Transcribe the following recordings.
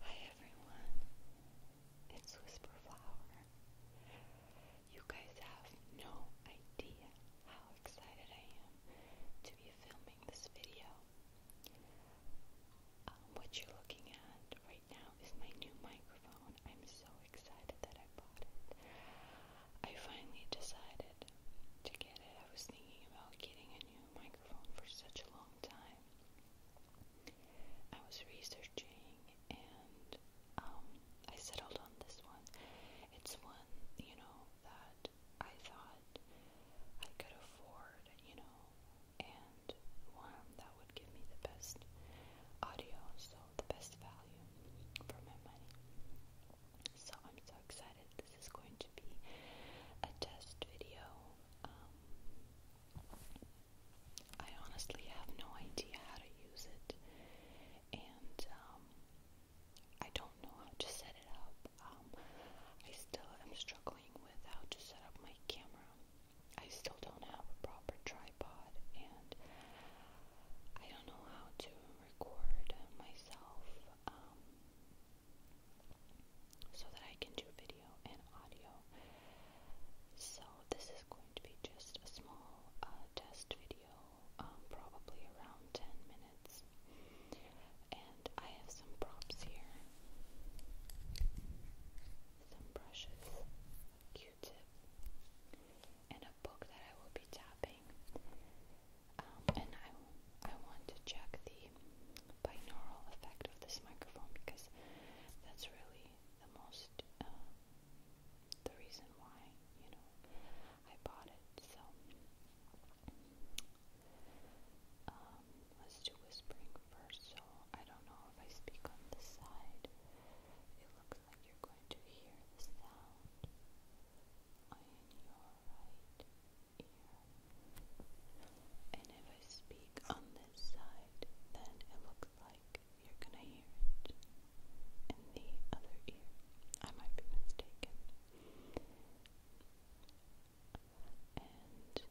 Hi everyone, it's Whisperflower. You guys have no idea how excited I am to be filming this video. Um, what you're looking at right now is my new microphone. I'm so excited that I bought it. I finally decided to get it. I was thinking about getting a new microphone for such a long time. I was researching and um, I settled on this one. It's one, you know, that I thought I could afford, you know, and one that would give me the best audio, so the best value for my money. So I'm so excited. This is going to be a test video. Um, I honestly have no idea how to use it, and um, I don't know how to set it up. Um, I still am struggling with how to set up my camera. I still don't have a proper tripod, and I don't know how to record myself so that I can do video and audio. So this is going to be just a small uh, test video, um, probably around 10 minutes. And I have some props here, some brushes, a Q-tip, and a book that I will be tapping. Um, and I, I want to check the binaural effect of this microphone because that's really the most, um, the reason why, you know, I bought it. So, um, let's do whispering first. So, I don't know if I speak on this side. It looks like you're going to hear the sound in your right ear. And if I speak on this side, then it looks like you're gonna hear it in the other ear. I might be mistaken. And see.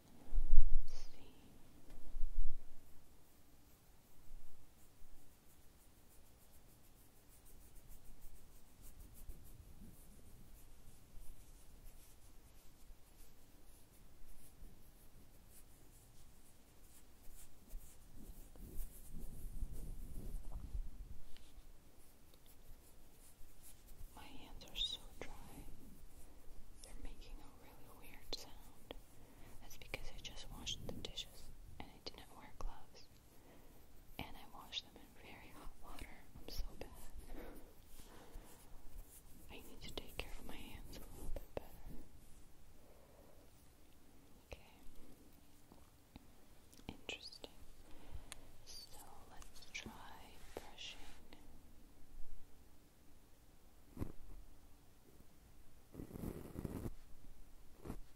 My hands are so dry, they're making a really weird sound. That's because I just washed the dishes and I didn't wear gloves and I wash them in very hot water. I'm so bad. I need to take care of my hands a little bit better. Okay. Interesting. So let's try brushing.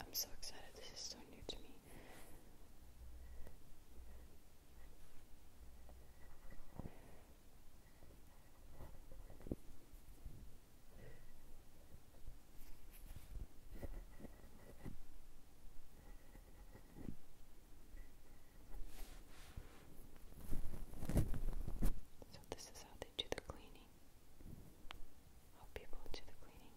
I'm so excited, this is so new to me. So, this is how they do the cleaning. How people do the cleaning,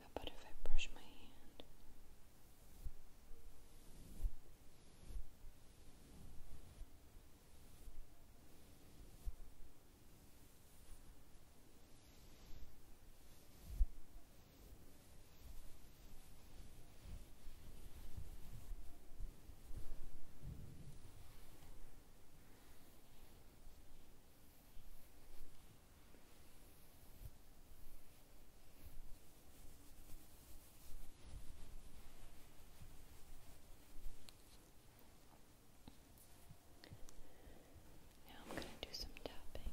How about if I brush my hand? Now I'm going to do some tapping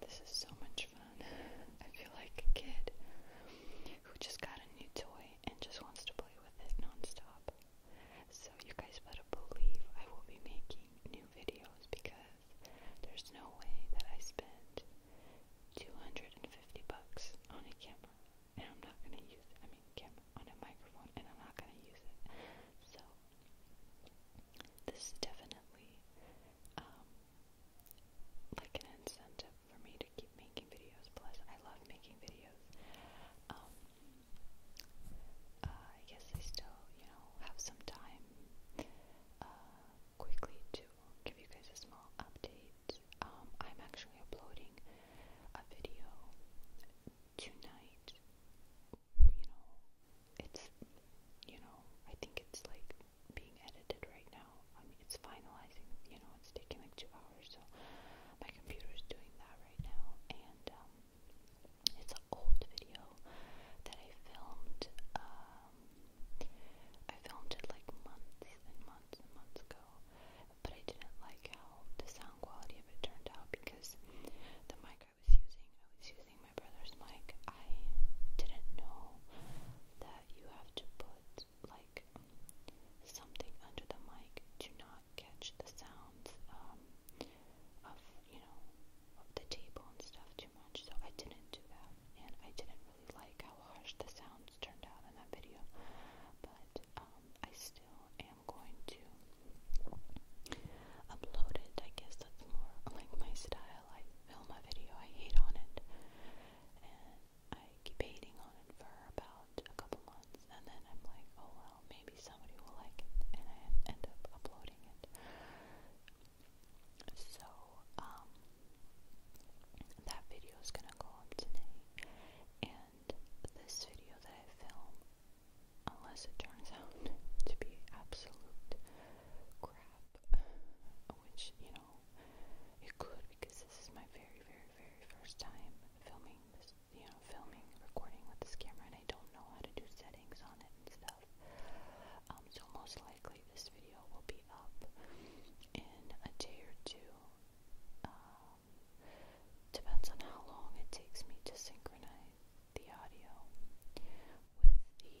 This is so much fun. I feel like a kid who just got a new toy and just wants to play with it nonstop. So you guys better believe I will be making new videos because there's no way that I spend 250 bucks on a camera and I'm not gonna use I mean, Kim on a microphone, and I'm not gonna use it. So this is definitely um, like an incentive for me to keep making videos. Plus, I love making videos. Um, uh, I guess I still, you know, have some time uh, quickly to give you guys a small update. Um, I'm actually uploading a video tonight. You know, it's, you know, I think it's like being edited right now. I mean, it's finalizing, you know, it's taking like two hours. So my computer's doing that right now. And, um, it's an old video that I filmed, um, I filmed it like months and months and months ago, but I didn't like how the sound quality of it turned out because the mic I was using, I was using my brother's mic. I didn't know that you have to put like something under the mic to not catch the sounds um, of you know of the table and stuff too much. So I didn't do that, and I didn't like how harsh the sounds turned out in that video, but um, I still am going to upload it. I guess that's more like my style. I film a video, I hate on it, and I keep hating on it for about a couple months, and then I'm like, oh well, maybe somebody will like it, and I end up uploading it. So, um, that video is gonna go up today. And this video that I film, unless it turns out to be absolute crap, which, you know, it could because this is my very, very, very first time filming you know, filming, recording with this camera, and I don't know how to do settings on it and stuff. Um, so most likely this video will be up in a day or two. Um, depends on how long it takes me to synchronize the audio with the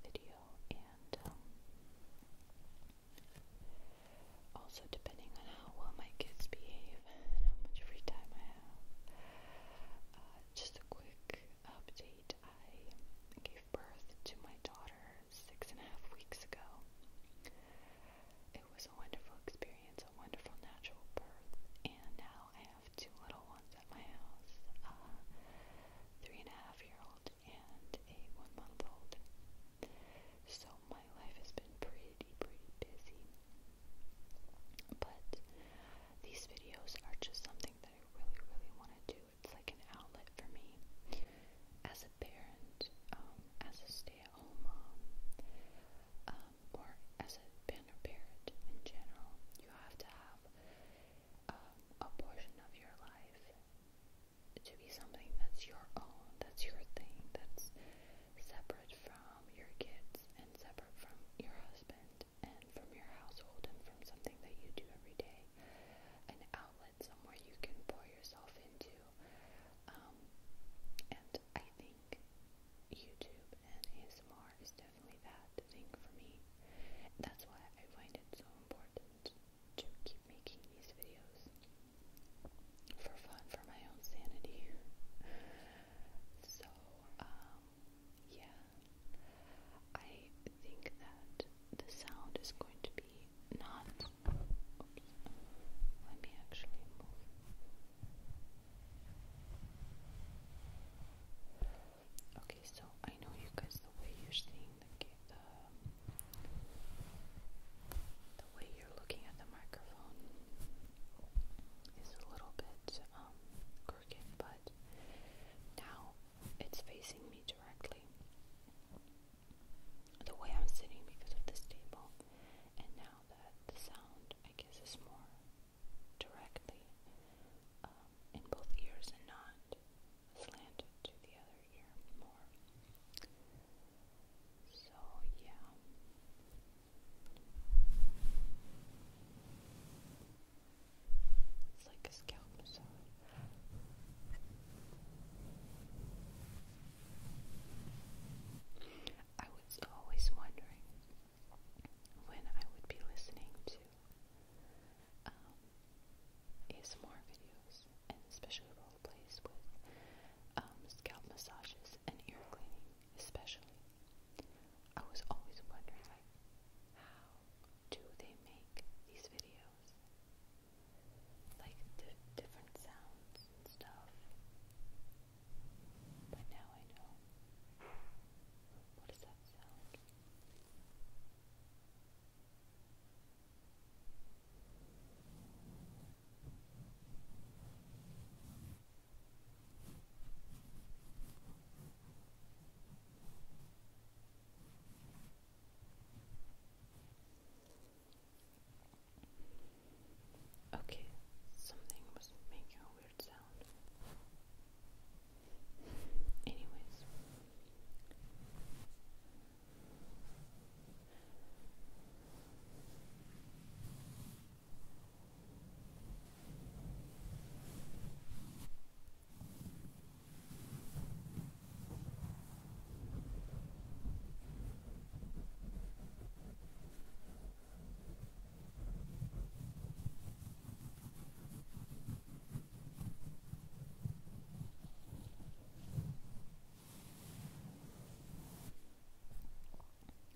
video, and um, also depending on how well my kids behave and how much free time I have. Uh, just a quick update I gave birth to my daughter six and a half weeks ago. It was a wonderful experience, a wonderful natural birth, and now I have two little ones at my house a uh, three and a half year old and a one month old. So my life has been pretty, pretty busy. But these videos are just something that I really, really want to do too. It's like an outlet for me. As a parent, um, as a stay-at-home mom, um, or as a parent in general, you have to have um, a portion of your life to be something that's your own, that's your thing, that's separate from your kids and separate from your husband and from your household and from something that you do every day. An outlet, somewhere you can pour yourself into. Um, and I think YouTube and ASMR is definitely that thing for me. That's why I find it so important to keep making these videos for fun, for my own sanity. So, um, yeah, I think that the sound is going to be not. let me actually move. Okay, so I know you guys the way you're seeing the the way you're looking at the microphone is a little bit um, crooked, but now it's facing me directly. The way I'm sitting because of this table, and now that the sound, I guess, is more directly um, in both ears and not slanted to the other ear more. So, yeah. It's like a scalp massage. I was always wondering when I would be listening to um, ASMR videos, and especially role plays with um, scalp massages and ear cleaning, especially. I was always wondering, like, how do they make these videos? Like different sounds and stuff. But now I know. What does that sound? What Okay, something was making a weird sound. Anyways,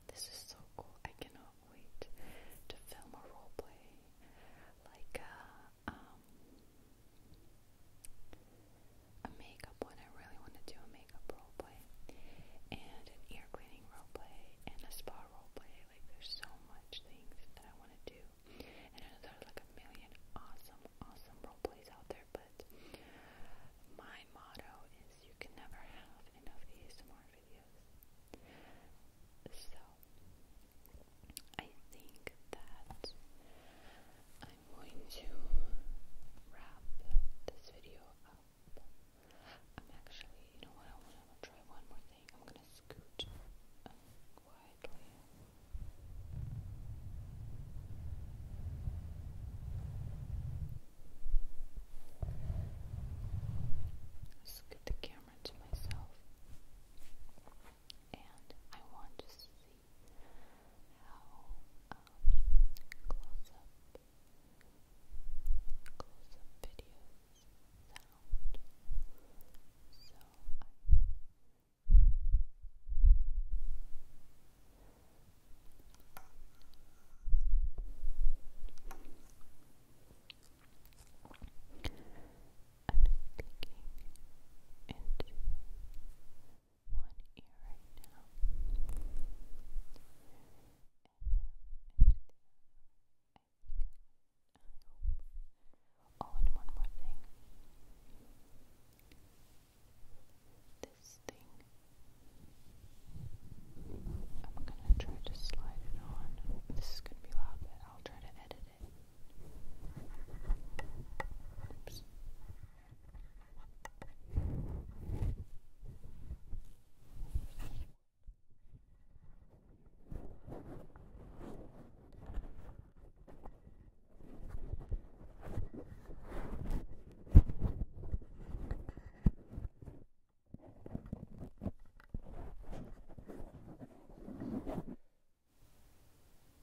this is so cool. I cannot cannot wait to film a role play like a, uh, um, a makeup one. I really want to do a makeup role play and an ear cleaning role play and a spa role play. Like there's so much things that I want to do, and I know there are like a million awesome, awesome role plays out there, but my motto is you can never have enough ASMR videos. So I think that I'm going to wrap this video up. I'm actually, you know what, I want to try one more thing. I'm going to scoot um, quietly. Scoot the camera camera to myself. And I want to see how close up, um, close up videos sound. So I'm sticking into one ear right now Oh, and one more thing. This thing I'm gonna try to slide it on. This is gonna be loud, but I'll try to edit it. Oops.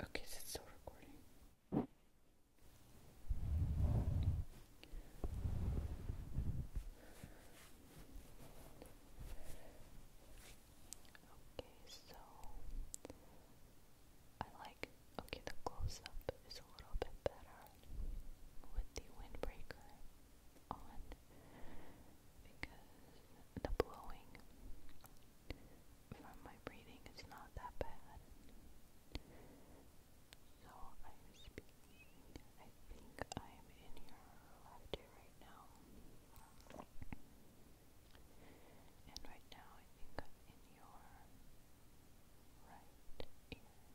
Okay, is it still recording? Okay, so I like okay the close up is a little bit better with the windbreaker on because the blowing from my breathing is not that bad. So I'm speaking, I think I'm in your left ear right now. And right now I am in your right ear.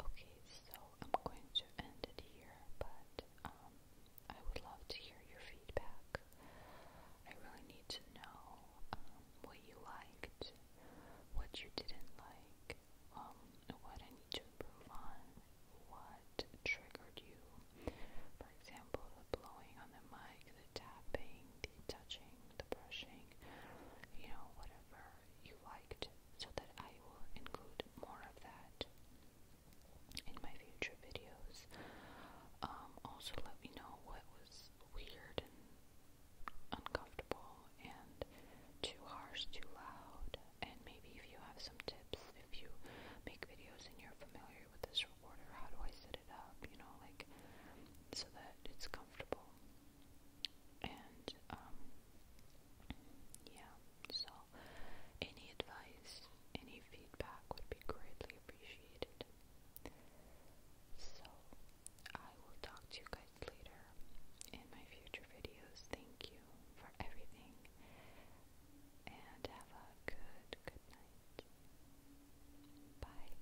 Okay, so I'm going to end it here, but um, I would love to hear your feedback. I really need to know um, what you liked, what you didn't like, um, what I need to improve on, what triggered you. For example, the blowing on the mic, the tapping, the touching, the brushing, you know, whatever you liked so that I will include more of that in my future videos. Um, also let me know what was weird and uncomfortable and too harsh, too loud, and maybe if you have some tips, if you make videos and you're familiar with this recorder, how do I set it up, you know, like, so that it's comfortable. And, um, yeah, so any advice, any feedback would be greatly appreciated. So I will talk to you guys later in my future videos. Thank you for everything and have a good, good night. Bye.